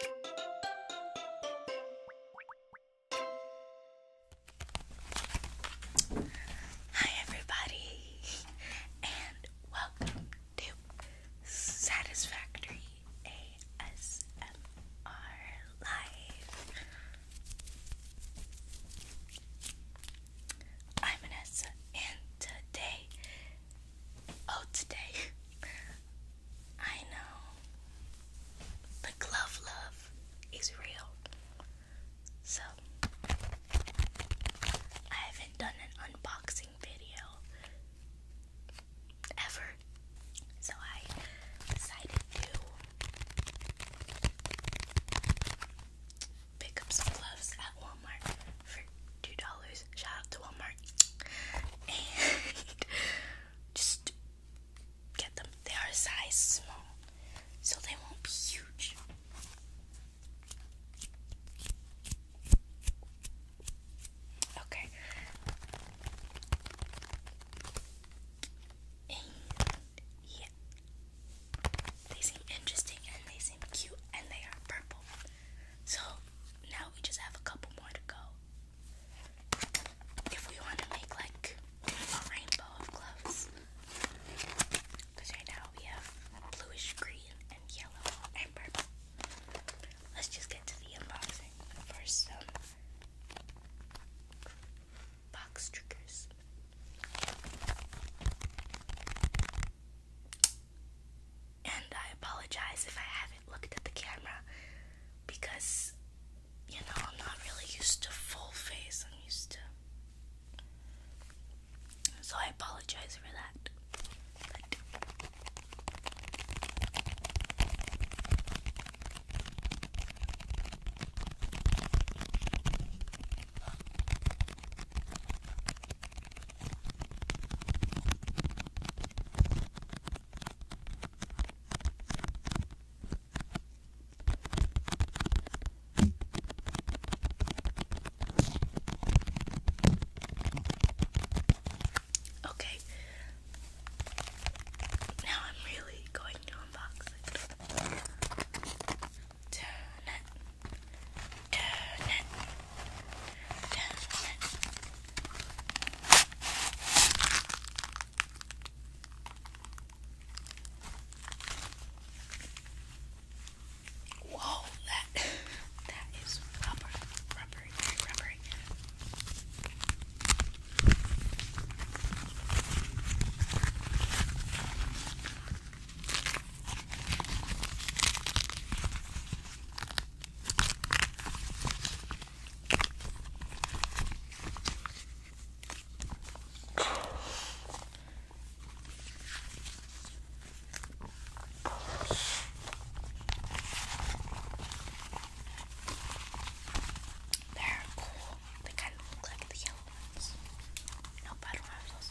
Hi, everybody, and welcome to Satisfactory ASMR Live. I'm Vanessa, and today, oh, today, I know. The glove love is real. So, I haven't done an unboxing video ever. So, I decided to pick up some gloves at Walmart for $2.99. Shout out to Walmart. just get them. They are size small, so they won't be huge. Okay. And yeah. They seem interesting and they seem cute and they are purple. So now we just have a couple more to go. If we want to make like a rainbow of gloves, because right now we have bluish green and yellow and purple. Let's just get to the unboxing for box triggers and I apologize if I haven't looked at the camera because you know I'm not really used to full face. I'm used to so I apologize for that. Okay. Now I'm really going to unbox it turn it, turn it. Whoa, that that is rubber, rubbery, very rubbery. They're cool. They kind of look like the yellow ones. Nope, I don't have those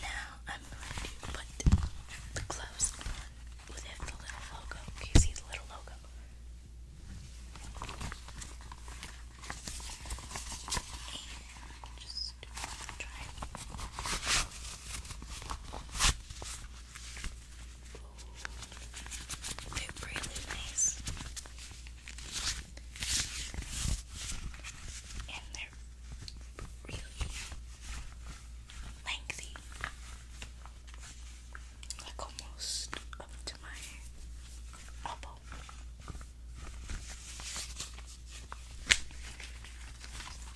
Now I'm going to put the gloves on with the little logo. Can you see the little logo? just try. They're really nice. And they're really lengthy. Like almost up to my elbow.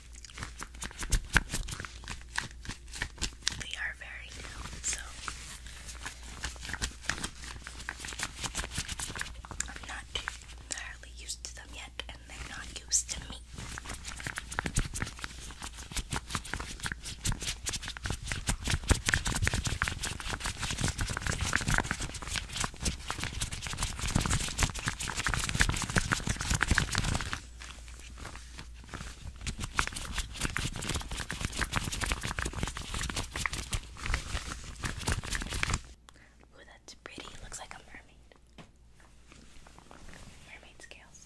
We are very new, so I'm not entirely used to them yet, and they're not used to me. Ooh, that's pretty. Looks like a mermaid. Mermaid scales.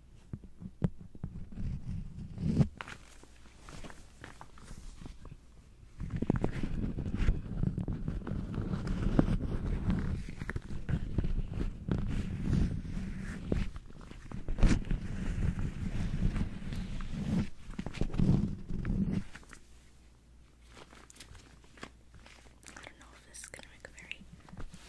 I don't know if this is going to make a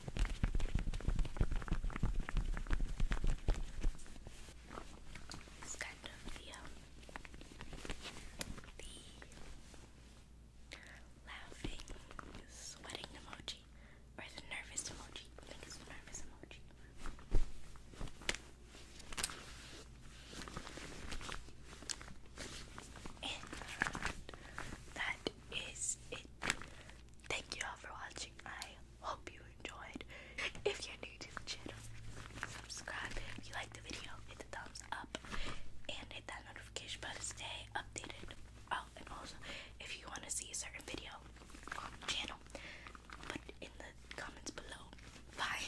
It's kind of the, laughing, sweating emoji, or the nervous emoji. think it's the nervous emoji. that is it. Thank you all for watching. I hope you enjoyed. If you're new to the channel, subscribe. If you like the video, hit the thumbs up and hit that notification bell to stay updated. Oh, and also, if you want to see a certain video on the channel, put in the comments below. Bye.